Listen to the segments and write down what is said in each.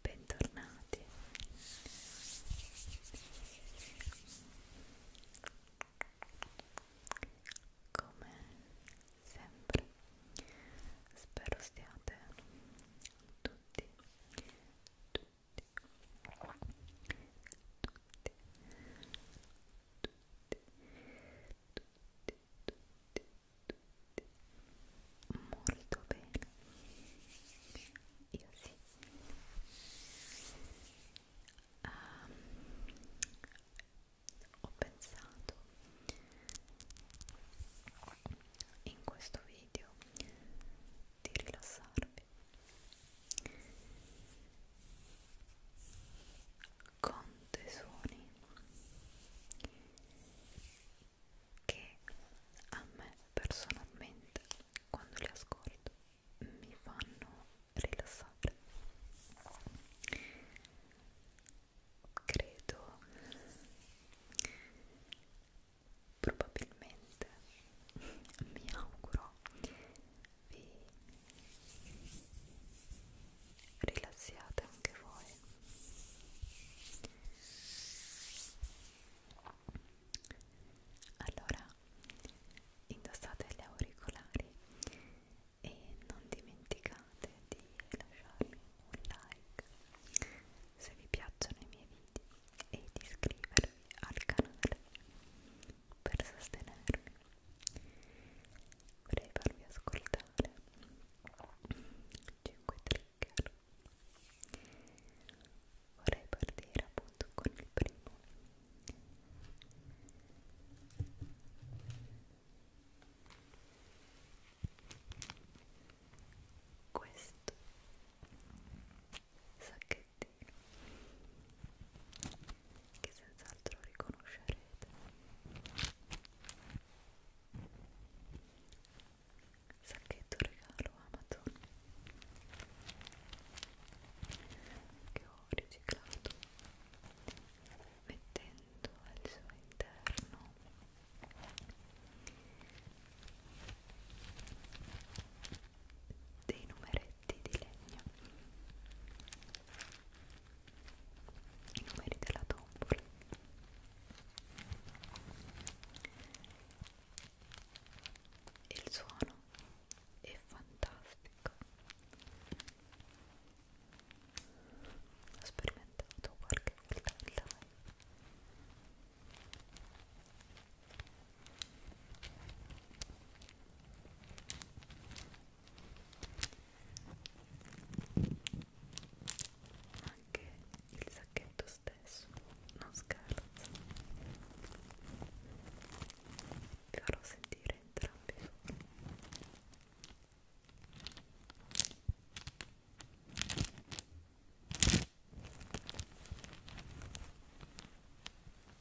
bentornati come sempre spero stiate tutti tutti tutti molto bene io sì um, ho pensato in questo video di rilassarvi con dei suoni che a me personalmente quando li ascolto mi fanno rilassare credo probabilmente mi auguro vi rilassiate anche voi allora indossate gli auricolari e non dimenticate di lasciarmi un like se vi piacciono i miei video e di iscrivervi al canale per sostenermi vorrei farvi ascoltare 5 trigger vorrei partire appunto con il primo questo sa che pezzettino che senz'altro riconoscerete sacchetto regalo Amazon che ho riciclato mettendo al suo interno dei numeretti di legno i numeri della tombola il suono è fantastico ho sperimentato qualche volta il live ma anche il sacchetto stesso non scherzo vi farò sentire entrambi i suoni Ecco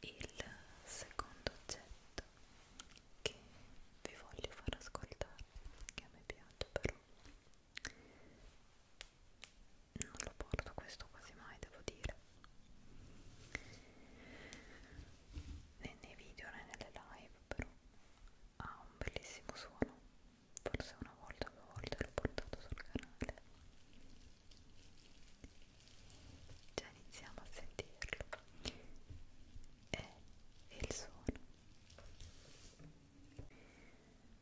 Il secondo oggetto che vi voglio far ascoltare, che a me piace però, non lo porto questo quasi mai devo dire né nei video né nelle live però ha un bellissimo suono forse una volta o due volte l'ho portato sul canale già iniziamo a sentirlo e il suono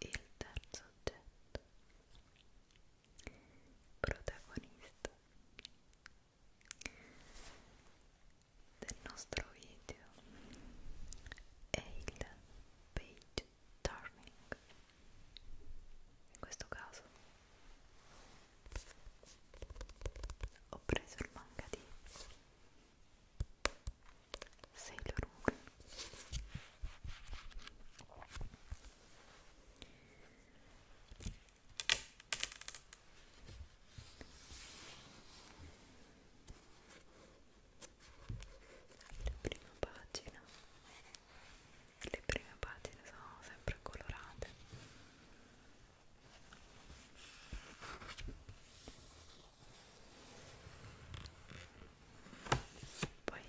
il, il terzo oggetto protagonista del nostro video è il page turning in questo caso ho preso il manga di Sailor Moon la prima pagina le prime pagine sono sempre colorate poi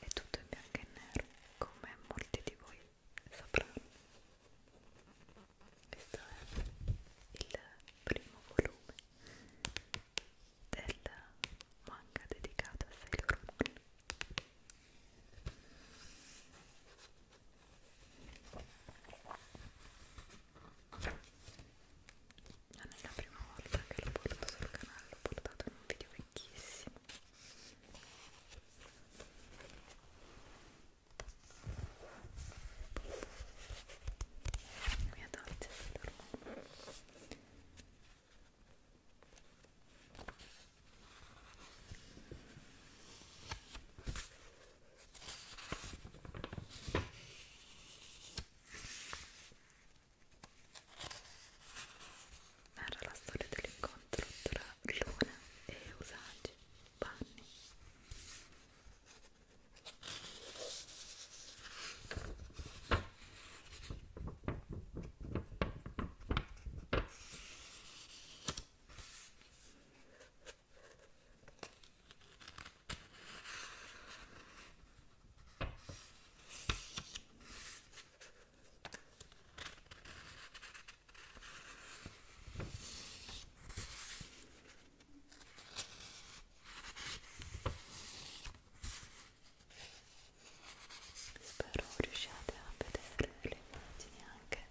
è tutto in bianco e nero, come molti di voi sapranno. Questo è il primo volume del manga dedicato a Sailor Moon non è la prima volta che lo porto sul canale, l'ho portato in un video vecchissimo mia dolce dormo Narra la storia dell'incontro tra Luna e Usagi Panni. Spero riusciate a vedere le immagini anche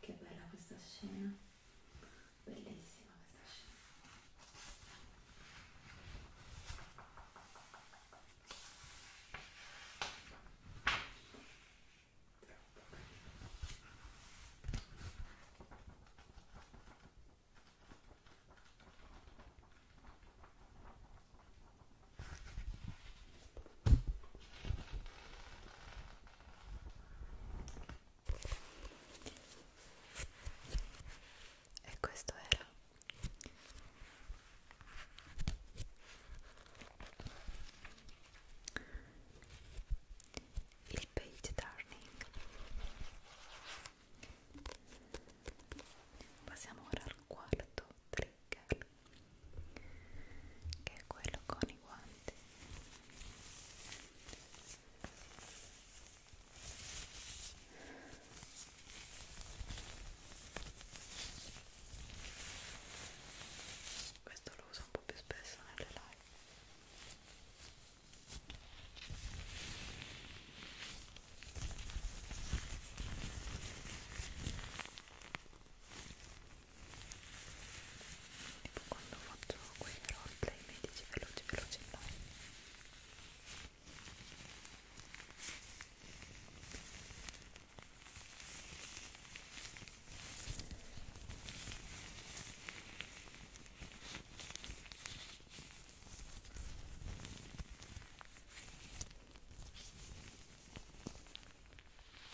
Che bella questa scena, bellissima questa scena. Troppo e questo era il page turning passiamo ora al quarto trigger che è quello con i guanti questo lo uso un po' più spesso nelle live tipo quando faccio quei roleplay medici veloci veloci no Ecco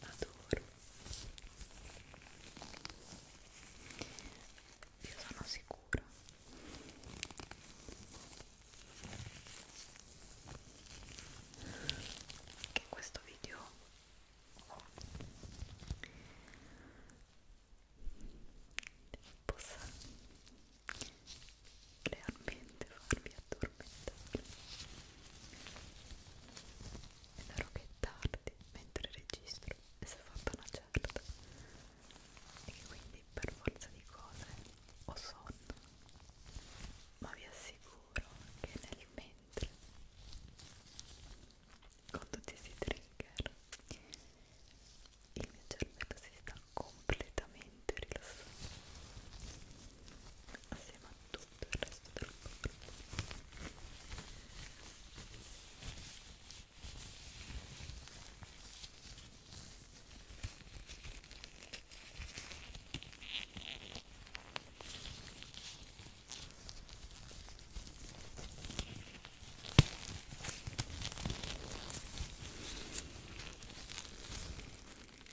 adoro io sono sicura che questo video possa realmente farvi addormentare è vero che è tardi mentre registro e si è fatta una certa e che quindi per forza di cose ho sonno ma vi assicuro che nel mentre con tutti questi trigger il mio cervello si sta completamente rilassante assieme a tutto il resto del corpo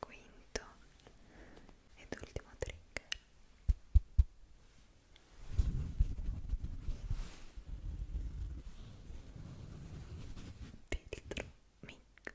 quinto ed ultimo trigger filtro mic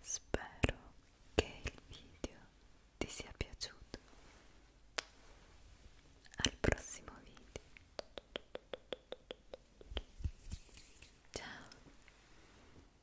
Spero che il video ti sia piaciuto. Al prossimo video. Ciao.